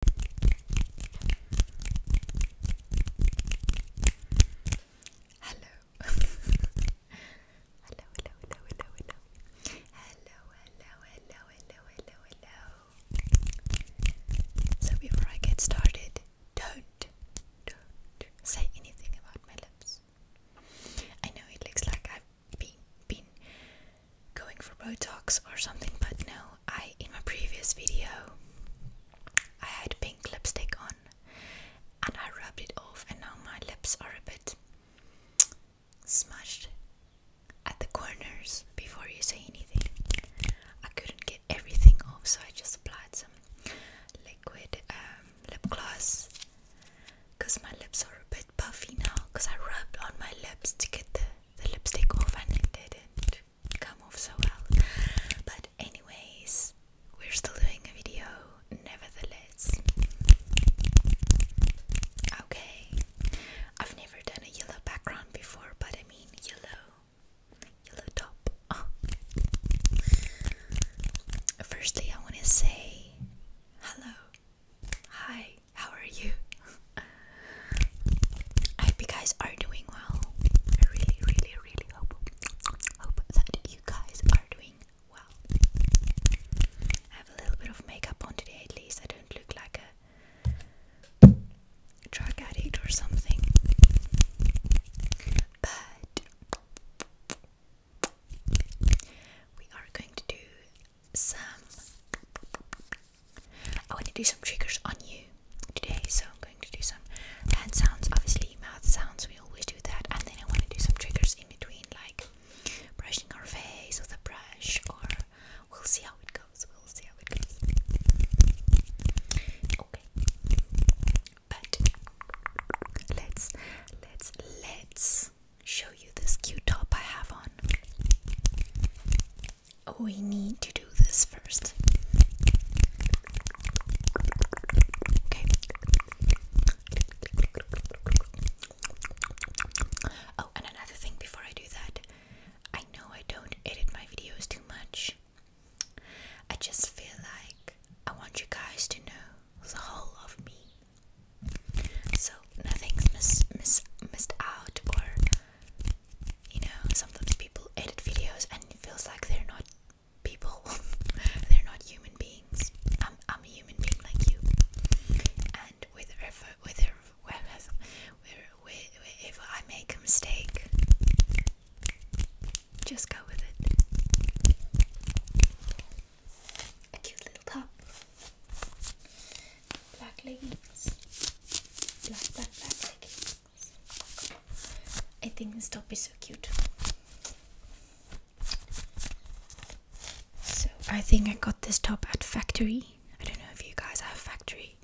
Hello. hello, hello, hello, hello, hello. Hello, hello, hello, hello, hello, So before I get started, don't, don't say anything about my lips. I know it looks like I've been, been going for Botox or something, but no, I in my previous video I had pink lipstick on and I rubbed it off and now my lips are a bit smashed at the corners before you say anything. I couldn't get everything off so I just applied some liquid um, lip gloss because my lips are a bit puffy now because I rubbed on my lips to get the, lipstick off and I did it come off so well. But, anyways, we're still doing a video, nevertheless. Okay, I've never done a yellow background before, but I mean, yellow, yellow top. Firstly, I want to say hello, hi, how are you? I hope you guys are doing well. I really, really, really hope hope that you guys are doing well. I have a little bit of makeup on today at least. I don't look like a drug addict or something. But we are going to do some I want to do some triggers on you today, so I'm going to do some hand sounds, obviously mouth sounds, we always do that, and then I want to do some triggers in between, like brushing our face with a brush, or we'll see how it goes, we'll see how it goes. Okay, but let's, let's, let's show you this cute top I have on we need to do this first. Okay. Oh, and another thing before I do that, I know I don't edit my videos too much. I just feel like I want you guys to know the whole of me. So nothing's mis mis missed out or you know, sometimes people edit videos and it feels like they're not people, they're not human beings. I'm, a human being like you, and wherever, whether, wherever, wherever, wherever I make a mistake, just go with it. A cute little top black leggings. Black, black, black leggings. I think this top is so cute. So I think I got this top at Factory. I don't know if you guys have Factory,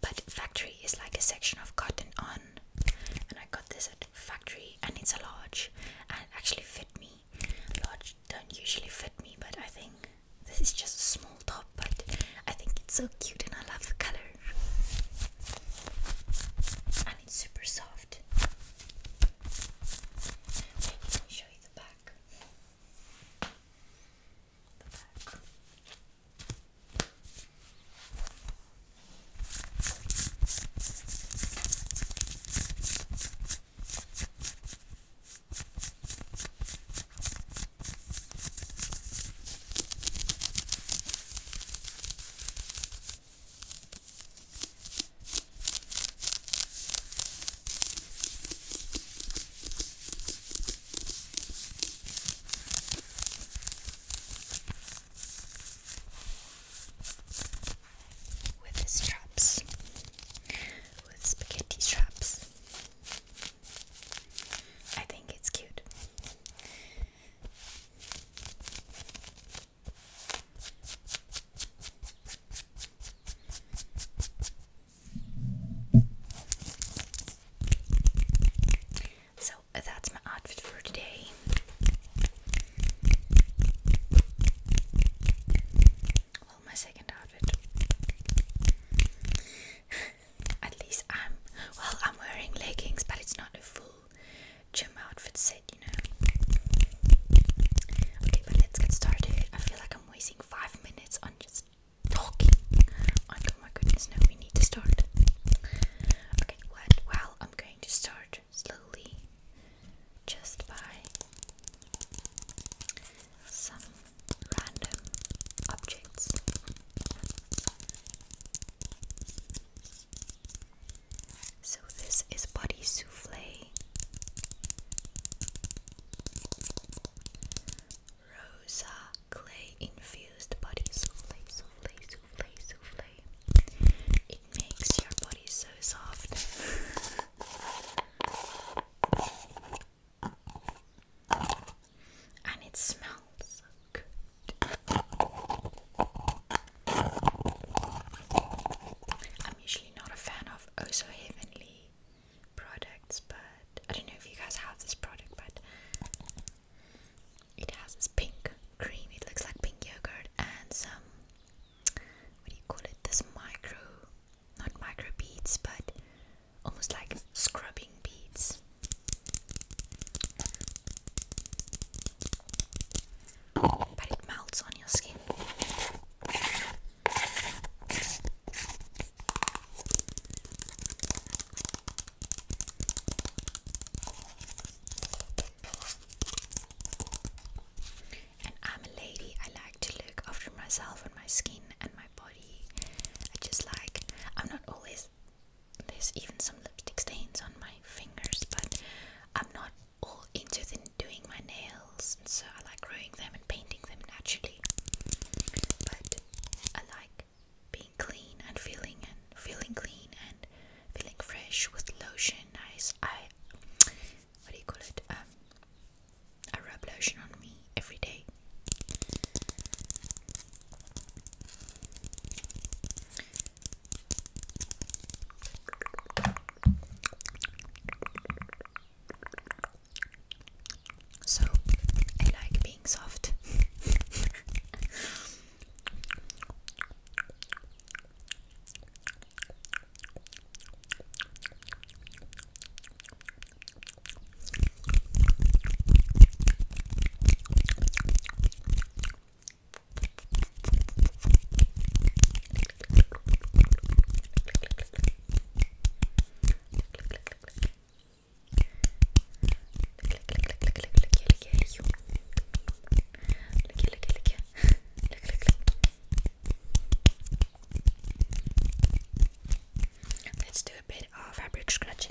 but Factory is like a section of cotton on. And I got this at Factory, and it's a large, and it actually fit me. Large don't usually fit me, but I think this is just a small top, but I think it's so cute and I love the color. And it's super soft. let me show you the back. The back. With straps, with spaghetti straps. I think it's cute. So that's my outfit for today. Well, my second outfit. at least I'm well I'm wearing leggings but it's not a full gym outfit set you know okay but let's get started I feel like I'm wasting five minutes on just talking oh my goodness no we need to start okay well I'm going to start slowly just by some random objects. So this is body souffle, rosa clay infused body souffle, souffle, souffle, souffle. It makes your body so soft. and it smells so good. I'm usually not a fan of Oh So Heavenly products, but I don't know if you guys have this product, but it has this pink cream, it looks like pink yogurt, and some what do you call it? This micro, not micro beads, but almost like scrubbing beads. But it melts on your skin. And I'm a lady, I like to look after myself and my skin and body. I just like I'm not always there's even some lipstick stains on my fingers, but I'm not all into doing my nails, so I like growing them and painting them naturally. But I like being clean and feeling and feeling clean and feeling fresh with lotion. I, I what do you call it? Um, I rub lotion on me every day. So I like being soft. Let's do a bit of fabric scratching.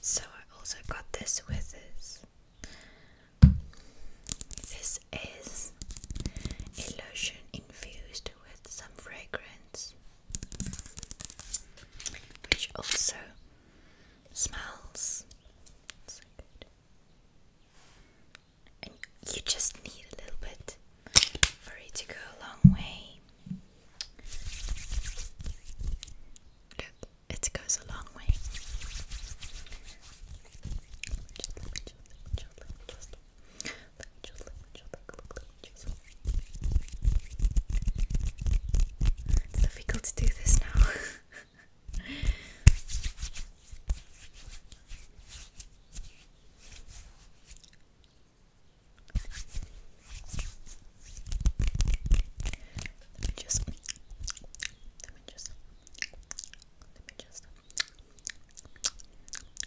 So I also got this with this. This is a lotion infused with some fragrance which also smells so good. And you just need a little bit for it to go a long way. Look, it goes a long way. Let me It's difficult to do this now. Let me just let me just let me just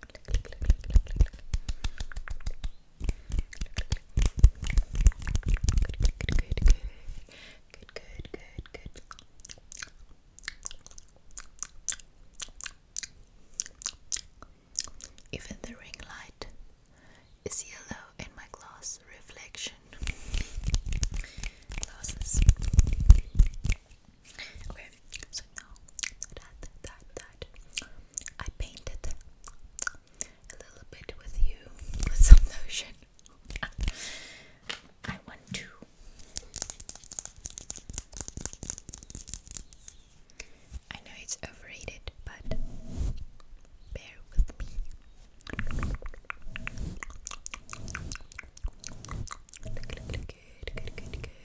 good, good, Even the ring light is yellow in my glass reflection. I painted a little bit with you with some lotion. I want to I know it's overrated, but bear with me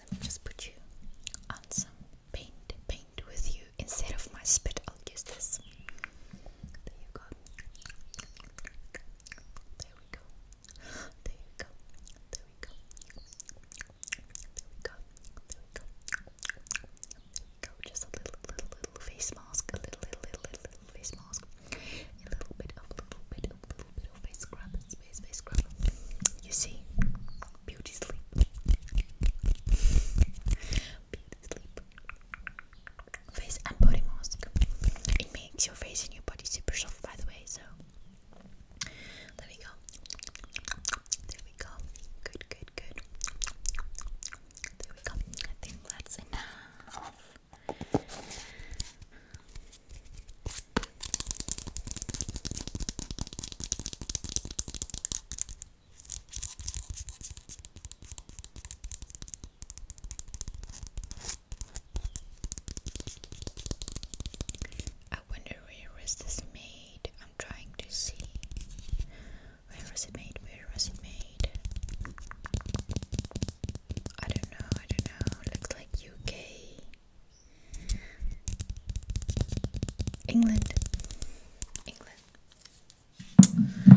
let me just put you on some paint, paint with you. Instead of my spit, I'll use this. There you go. There we go. There we go. There we go. There we go. There we go. Just a little, little, little face mask. A little, little, little, little, face mask. A little bit of, little bit of, little bit of face scrub face, face You see, beauty sleep. beauty sleep. Face and body mask. It makes your face and your body super soft, by the way. So there we go. There we go. Good, good, good. There we go. I think that's enough. I wonder where is this made? I'm trying to see. Where was it made? Where was it made? I don't know, I don't know. Looks like UK. England. England. Okay.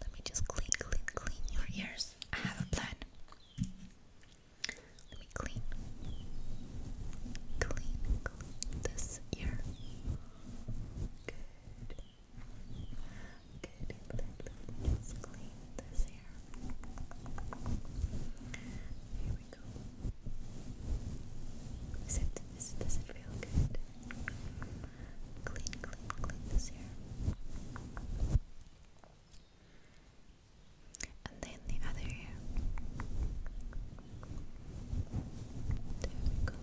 Let me just clean, clean, clean your ears. I have a plan. Let me clean, clean, clean this ear. Good. Good. Let me just clean this ear. Here we go. Is it, is, does it feel good? Clean, clean, clean this ear. And then the other ear. There we go.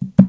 There we go.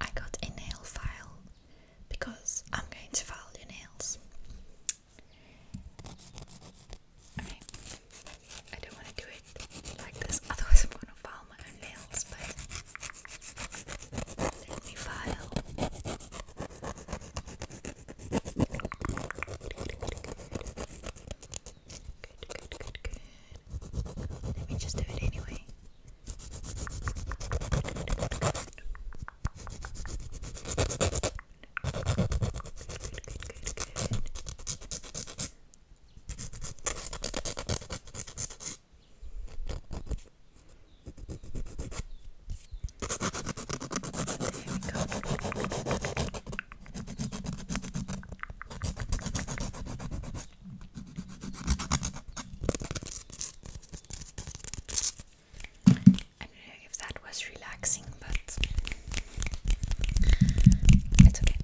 I got a nail file because I'm going to file your nails. I don't want to do it like this, otherwise, I'm going to file my own nails. But let me file. Good, good, good, good. Let me just do it anyway. Good, good, good, good. Good, we go. I don't know if that was relaxing, but it's okay.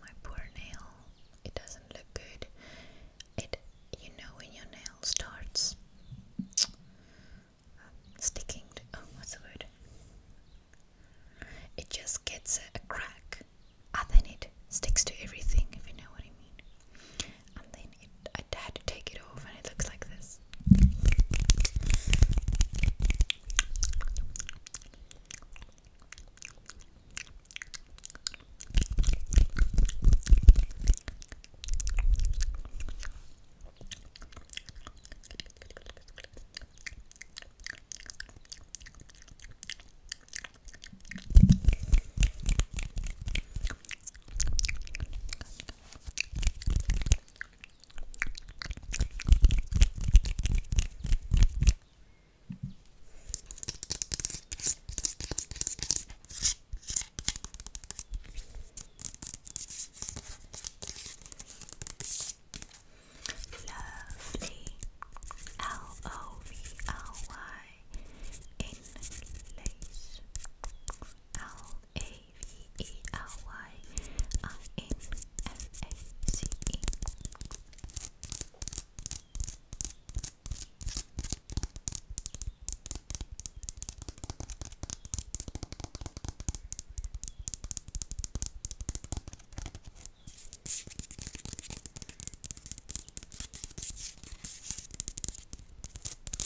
My poor nail. It doesn't look good. It, you know, when your nail starts um, sticking Oh, what's the word? It just gets a, crack and ah, then it sticks to everything, if you know what I mean and then I had to take it off and it looks like this Lovely L O V L Y in lace a V E L Y I uh, N F A C E.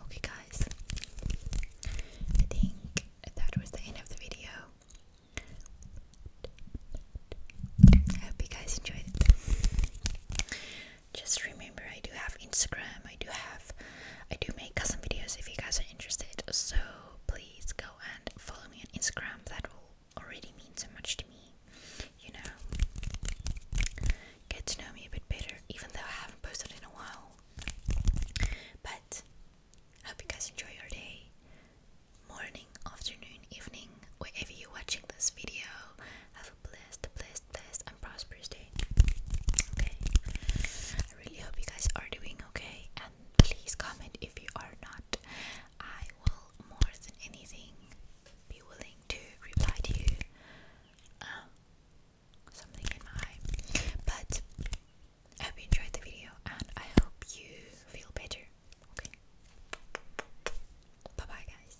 Okay, guys, I think that was the end of the video. I hope you guys enjoyed it just remember I do have Instagram, I do have I do make custom videos if you guys are interested. So please go and follow me on Instagram. That will already mean so much to me. You know. Get to know me a bit better, even though I haven't posted in a while. But I hope you guys enjoy your day. Morning, afternoon, evening, wherever you're watching this video have a blessed, blessed, and prosperous day. Okay, I really hope you guys are doing okay. And please comment if you are not. I will more than anything be willing to reply to you. Um, something in my eye, but I hope you enjoyed the video and I hope you feel better. Okay, bye bye, guys.